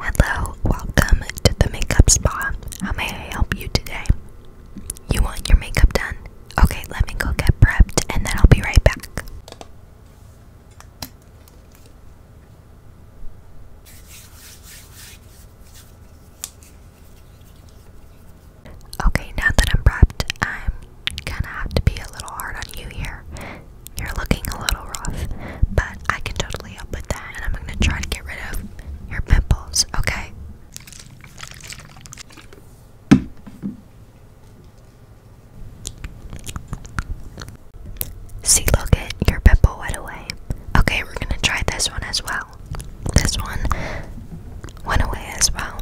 Hello, welcome to the makeup spa. How may I help you today? You want your makeup done? Okay, let me go get prepped and then I'll be right back. Okay, now that I'm prepped, I'm gonna have to be a little hard on you here. You're looking a little rough, but I can totally help with that, and I'm gonna try to get rid of your pimples, okay? See, look at your pimple went away. Okay, we're gonna try this one as well. This one went away as well.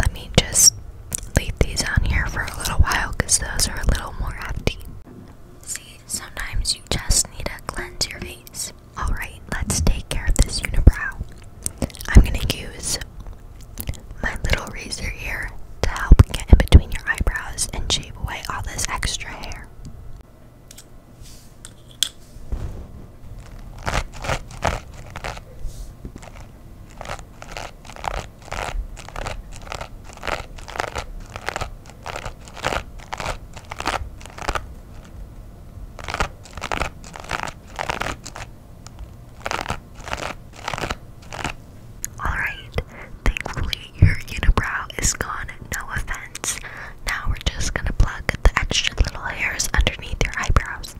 Let me just leave these on here for a little while because those are a little more hefty. See, sometimes you just need to cleanse your face. Alright, let's take care of this unibrow. I'm gonna use my little razor here to help get in between your eyebrows and shave away all this extra hair. Alright, thankfully your unibrow is gone, no offense. Now we're just gonna plug the extra little hairs underneath your eyebrows.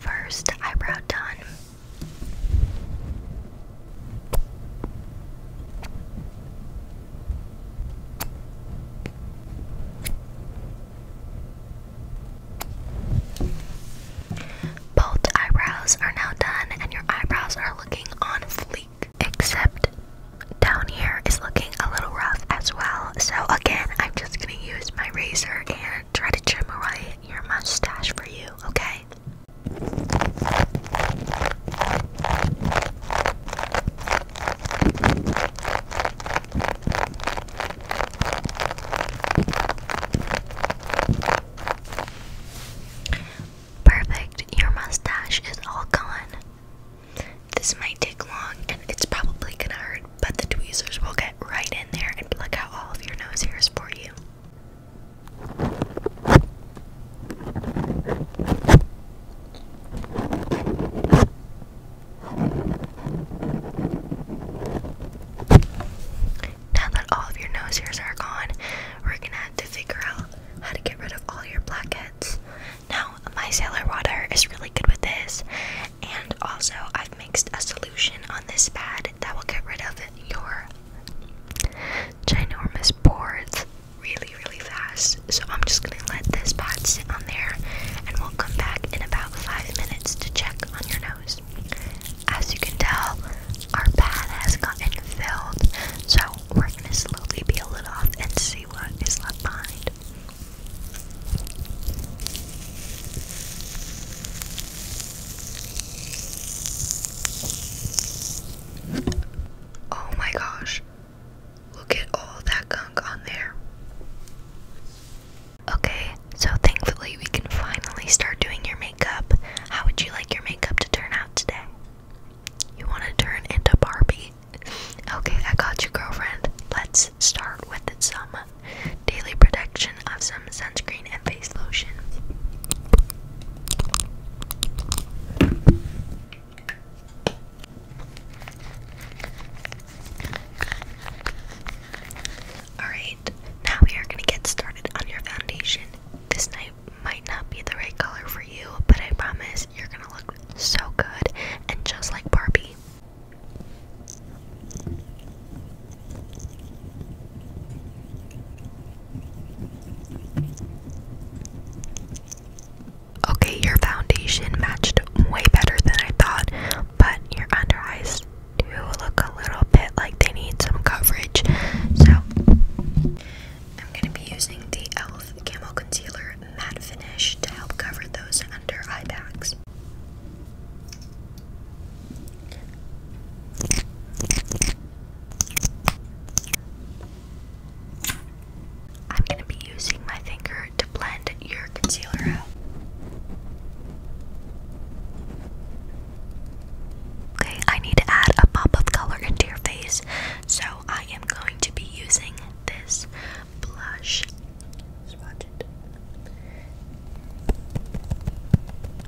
First eyebrow done. Both eyebrows are now done, and your eyebrows are looking on fleek. Except down here is looking a little rough as well. So, again, I'm just gonna use my razor and try to trim away your mustache for you, okay? Perfect, your mustache is all gone. This might take long and it's probably gonna hurt, but the tweezers will get right in there and pluck out all of your nose hairs for you. Now that all of your nose hairs are gone, we're gonna have to figure out how to get rid of all your blackheads. Now, micellar water is really good with this, and also I've mixed a solution on this pad that will get rid of your ginormous pores really, really fast. So I'm just gonna and let this pot sit on there, and we'll come back in about five minutes to check on your nose. As you can tell, our pad has gotten filled, so we're gonna slowly peel it off and see what is left behind. Oh my gosh, Look at all that gunk on there. Okay, so thankfully we can finally start doing your makeup. How would you like your makeup to turn out today? You want to turn into Barbie? Okay, I got you, girlfriend. Let's start with some daily protection of some sunscreen and face lotion. Alright, now we are going to get started on your foundation. This night might not be the right color for you, but I promise you're going to look so good and just like Barbie okay, your foundation matched way better than I thought, but your under eyes do look a little bit like they need some coverage. So, I'm going to be using the e.l.f. Camel Concealer Matte Finish to help cover those under eye bags. I'm going to be using my finger to blend your concealer out. Okay, I need to add a pop of color into your face, so I am going to be using this blush.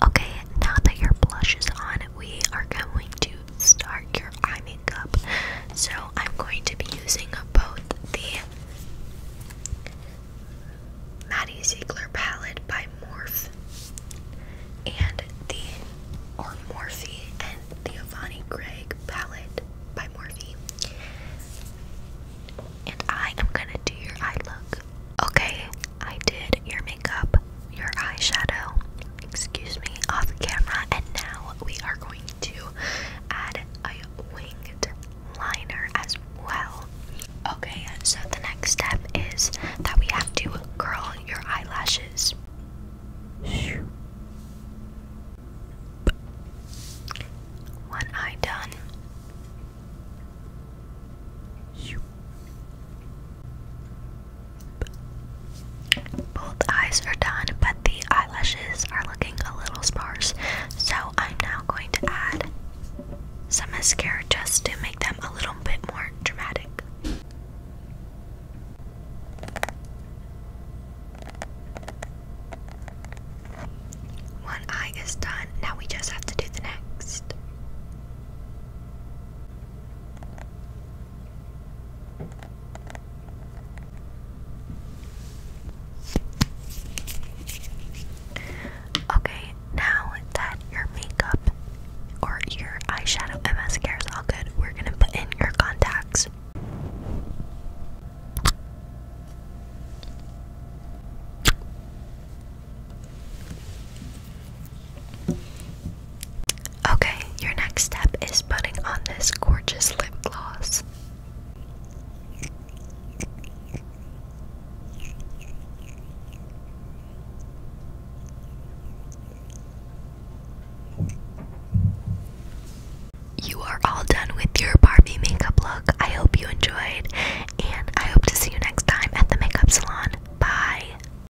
Okay, now that your blush is on, we are going to start your eye so I'm going to be using both the Maddie Ziegler palette by Morph and the or Morphe and the Avani Craig palette by Morphe. And I am gonna do your eye look. Okay, I did your makeup, your eyeshadow, excuse me, off camera, and now we are going to add a winged liner as well. Okay, so the next step is that we have to curl your eyelashes. One eye done. Both eyes are done, but the eyelashes are looking a little sparse, so I'm now going to add some mascara just to make them a little bit more dramatic. One eye is done, now we just have to do the next. Okay, now that your makeup or your eyeshadow and mascara is all good, we're gonna put in your contacts. Okay, your next step is putting on this gorgeous lip gloss. You are all done with your Barbie makeup look. I hope you enjoyed, and I hope to see you next time at the makeup salon. Bye.